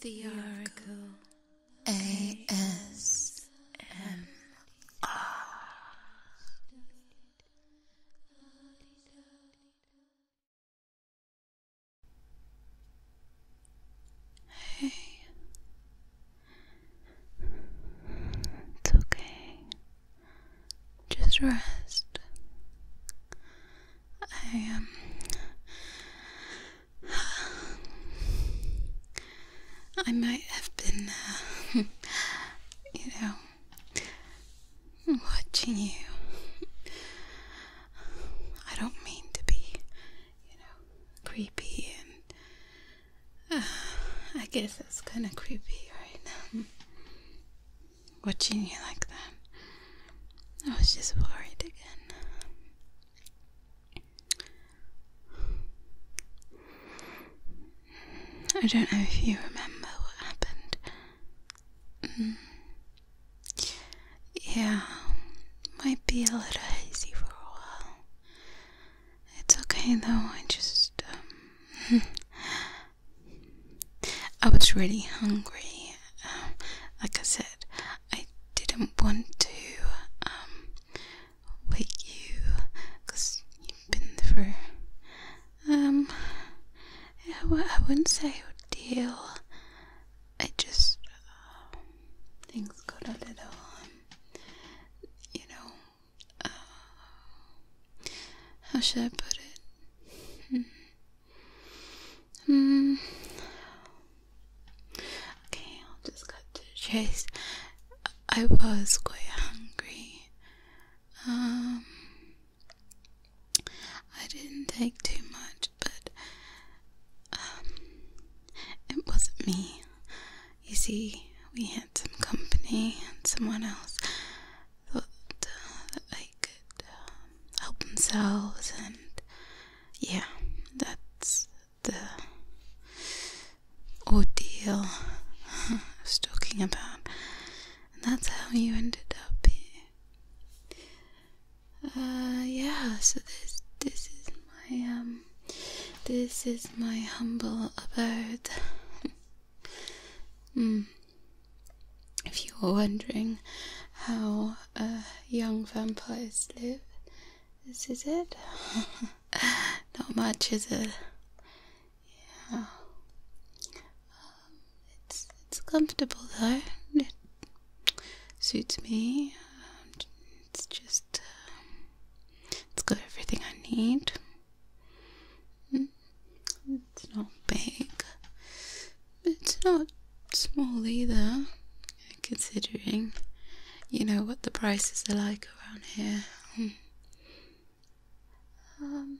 The Oracle ASMR. it's okay. Just rest. I, um. I might have been, uh, you know, watching you. I don't mean to be, you know, creepy, and uh, I guess that's kind of creepy right now watching you like that. I was just worried again. I don't know if you remember what happened. Mm. Yeah, might be a little hazy for a while. It's okay though, I just. Um, I was really hungry. Um, like I said, I didn't want to um, wake you because you've been through. Um, I wouldn't say a deal. I just uh, things got a little, um, you know, uh, how should I put it? Hmm. Hmm. Okay, I'll just cut to chase. I was quite hungry. Um, I didn't take too much, but um, it wasn't me. You see, we had some company, and someone else uh, could um, help themselves, and yeah, that's the ordeal I was talking about, and that's how you ended up here. Uh, yeah, so this this is my um, this is my humble abode. mm. If you are wondering how young vampires live, this is it. Not much, is it? Yeah. Um, it's it's comfortable though. It suits me. it's just um, it's got everything I need. Hmm. It's not big, it's not small either, considering you know what the prices are like around here. Um, um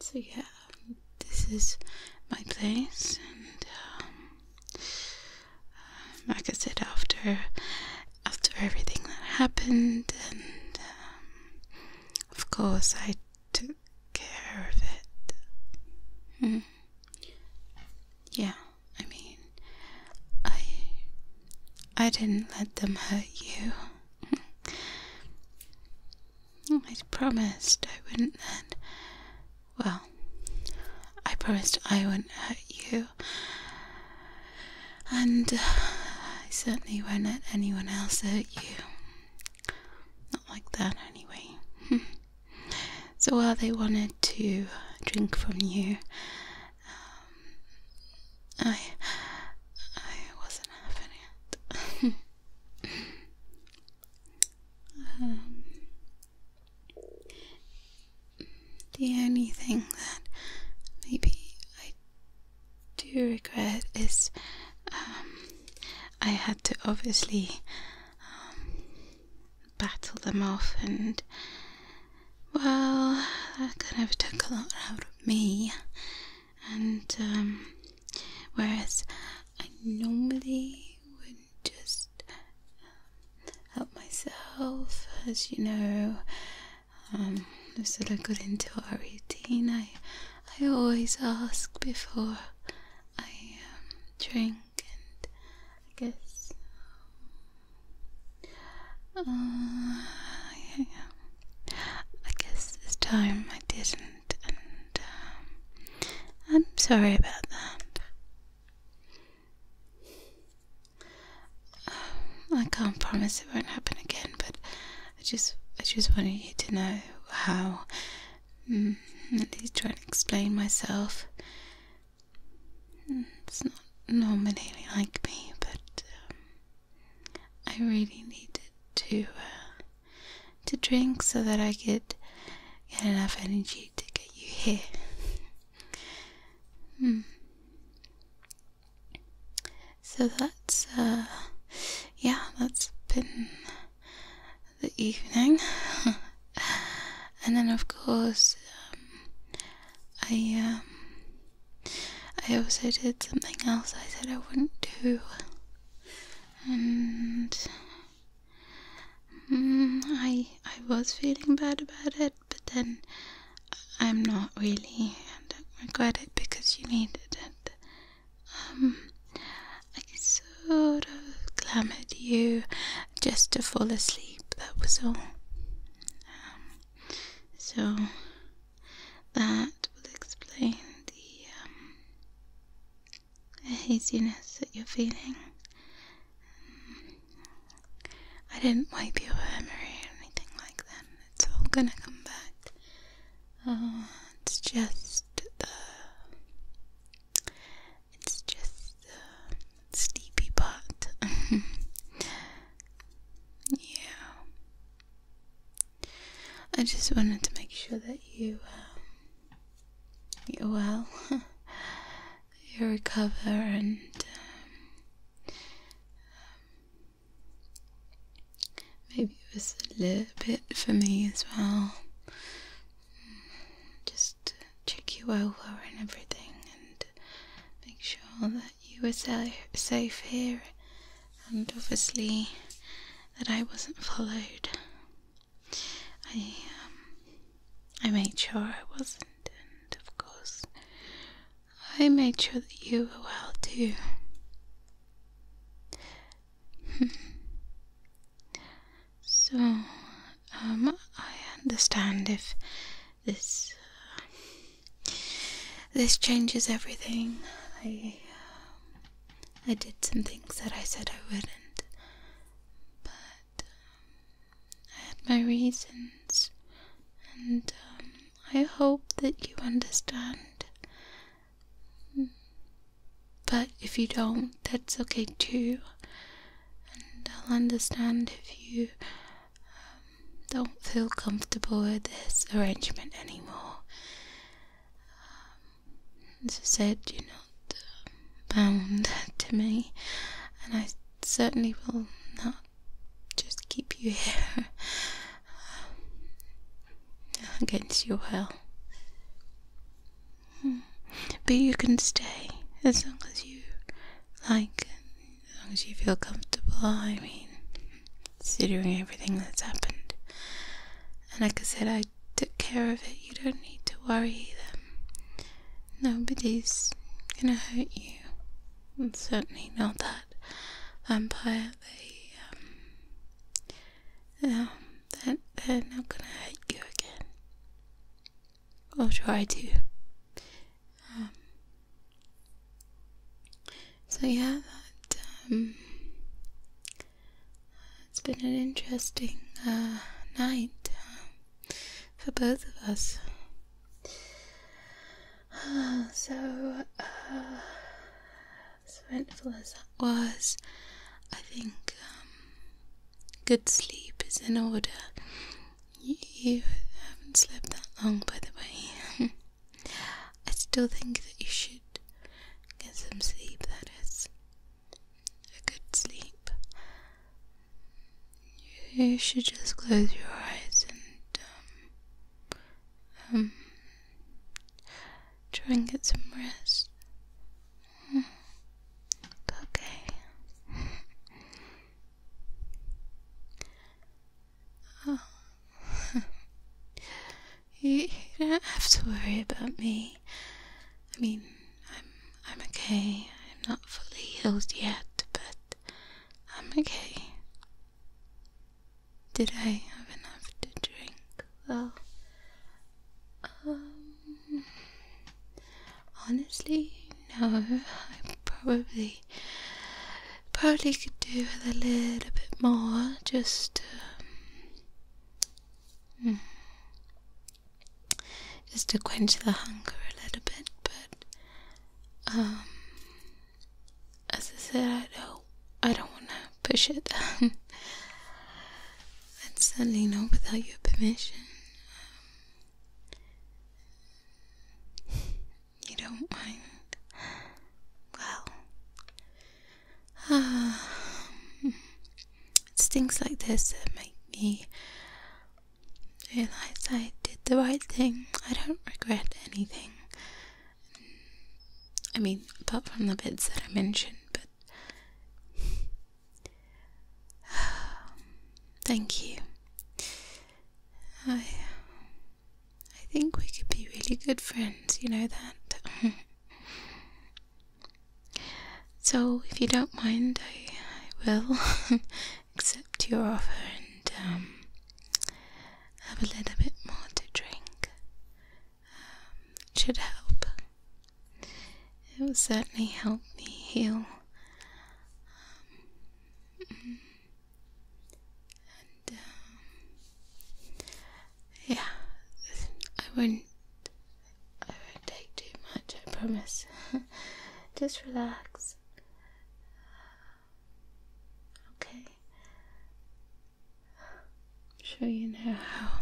so yeah, this is my place, and um, um, like I said, after after everything that happened, and of course I took care of it. Hmm. Yeah, I mean, I. I didn't let them hurt you. I promised I wouldn't then. Well, I promised I wouldn't hurt you. And uh, I certainly won't let anyone else hurt you. Not like that, anyway. So while they wanted to drink from you, um, I I wasn't having it. Um, the only thing that maybe I do regret is um, I had to obviously um, battle them off, and well, that kind of took a lot out of me. And um, whereas I normally would just um, help myself, as you know, um, as I got into a routine, I I always ask before I um, drink and I guess um, uh, yeah, I guess this time I didn't and um, I'm sorry about that. Um, I can't promise it won't happen again, but I just I just wanted you to know how Mm, at least try to explain myself. Mm, it's not normally like me, but um, I really needed to uh, to drink so that I could get enough energy to get you here. Hmm. So that's uh, yeah, that's been the evening. and then, of course, um, I um, I also did something else I said I wouldn't do, and mm, I I was feeling bad about it, but then I'm not really. I don't regret it because you needed it. Um, I sort of clamoured you just to fall asleep, that was all. Um, so, that will explain the, um, haziness that you're feeling. Um, I didn't wipe your memory or anything like that. It's all gonna come back. Uh, it's just the it's just a sleepy pot. yeah. I just wanted to make sure that you um, you're well, you recover, and um, maybe it was a little bit for me as well just check you over and everything and make sure that you were safe here and obviously that I wasn't followed. I um, I made sure I wasn't and of course I made sure that you were well too so, um, I understand if this uh, this changes everything. I um, I did some things that I said I wouldn't, but um, I had my reasons, and um, I hope that you understand. But if you don't, that's okay too. And I'll understand if you um, don't feel comfortable with this arrangement anymore. Um, as I said, you're not um, bound to me, and I certainly will not just keep you here against your will. But you can stay as long as you like, as long as you feel comfortable. I mean, considering everything that's happened. And like I said, I took care of it. You don't need to worry either. Nobody's gonna hurt you. certainly not that vampire. Um, um, that they're not gonna hate you again. I'll try to. Um, so yeah, um, it's been an interesting uh, night uh, for both of us. Uh, so, as eventful as that was, I think um, good sleep is in order. You, haven't slept that long, by the way. I still think that you should get some sleep, that is. A good sleep. You should just close your eyes and, um, um try and get some rest okay. Oh. you, you don't have to worry about me. I mean, I'm I'm okay. I'm not fully healed yet, but I'm okay. Did I have enough to drink? Well, um, honestly, no. I probably probably could do with a little bit more. Just, um, hmm. just to quench the hunger a little bit. But, um, as I said, I don't, I don't want to push it. and certainly not without your permission. Um, you don't mind. Well, um, it's things like this that make me realize I did the right thing. I don't regret anything. I mean, apart from the bits that I mentioned, but Thank you. I I think we could be really good friends, you know that. so if you don't mind, I, will accept your offer and um, have a little bit more to drink. Um, it should help. It will certainly help me heal um, and um, yeah, I won't I won't take too much, I promise. Just relax. Okay. i you how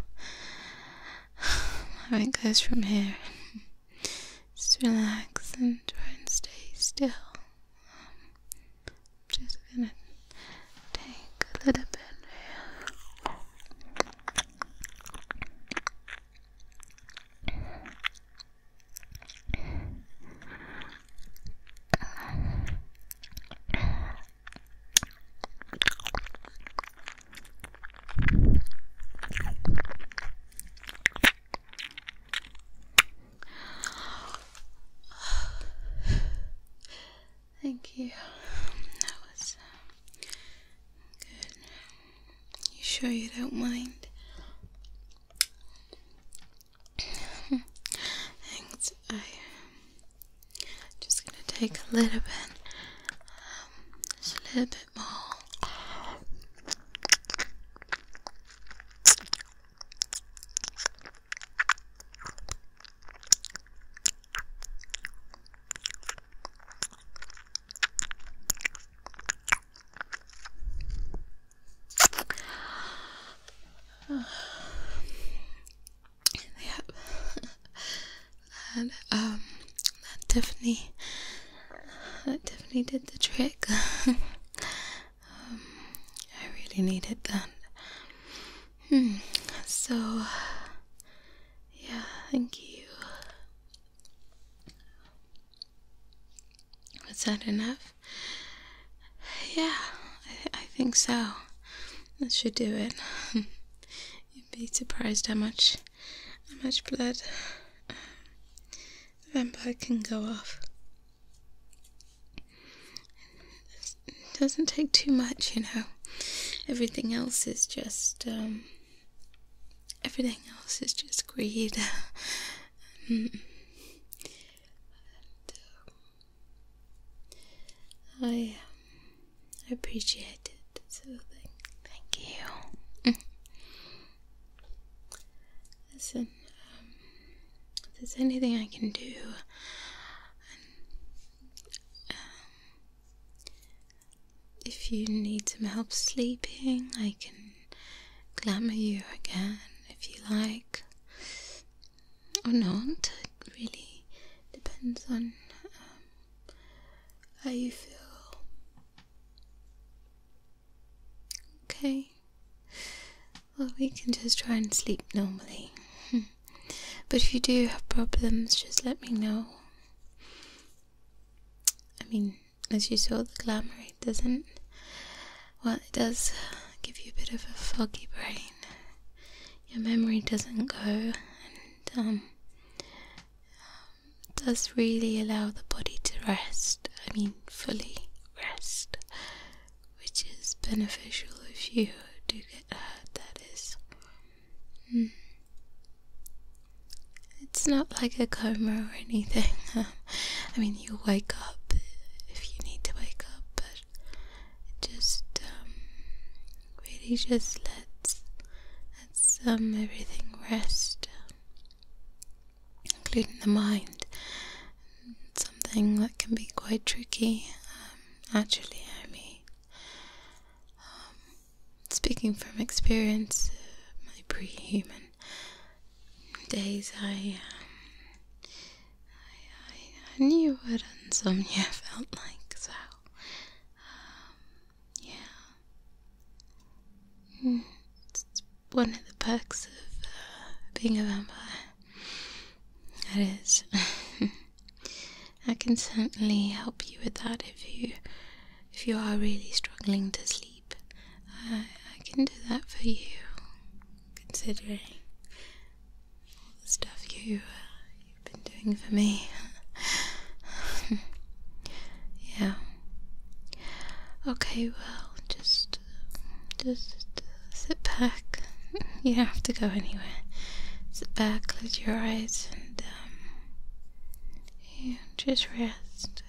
how it goes from here. Just relax and try and stay still. Um, just gonna take a little bit. Thank you. That was um, good. sure you don't mind? Thanks. I am um, just gonna take a little bit, um, just a little bit small. that um that Tiffany that Tiffany did the trick. Um, I really needed that. Hmm. So yeah, thank you. Was that enough? Yeah, I think so. That should do it. You'd be surprised how much how much blood um, the vampire can go off. doesn't take too much, you know. Everything else is just, um, everything else is just greed. Mm. I, um, I appreciate it. Thank you. Listen, um, if there's anything I can do, um, if you need some help sleeping, I can glamour you again if you like, or not. It really depends on um, how you feel? Okay. Well, we can just try and sleep normally. but if you do have problems, just let me know. I mean, as you saw, the glamorate doesn't. Well, it does give you a bit of a foggy brain. Your memory doesn't go, and um, does really allow the body to rest. I mean, fully rest, which is beneficial if you do get hurt, that is. Hmm. It's not like a coma or anything. I mean, you wake up if you need to wake up, but it just um, really just lets some everything rest, including the mind. Something that can be quite tricky, um, actually. I um, speaking from experience, uh, my pre-human days, I, um, I, I, knew what insomnia felt like. So, um, yeah, Hmm. it's one of the perks of uh, being a vampire. That is. I can certainly help you with that if you if you are really struggling to sleep. I can do that for you, considering all the stuff uh, you've been doing for me yeah. Okay, well, just, just sit back. You don't have to go anywhere. Sit back, close your eyes, and um, yeah, just rest.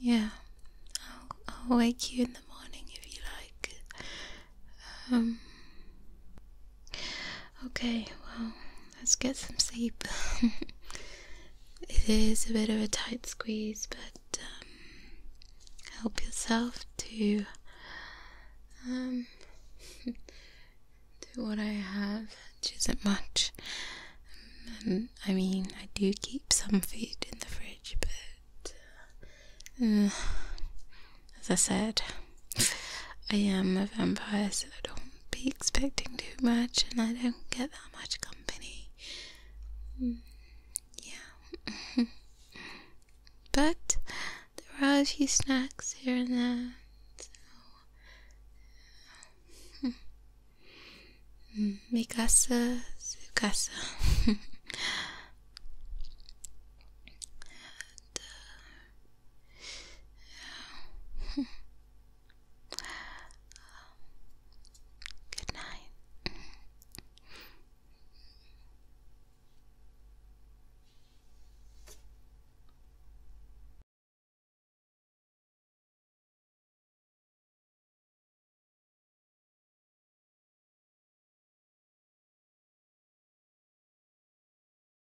Yeah, I'll, I'll wake you in the morning if you like. Um, okay, well, let's get some sleep. it is a bit of a tight squeeze, but um, help yourself to um, to what I have, which isn't much. Um, I mean, I do keep some food in the fridge, but uh, as I said, I am a vampire, so don't be expecting too much, and I don't get that much company. Mm, yeah. but there are a few snacks here and there, Mi mm, casa, su casa. Uh, um, good night.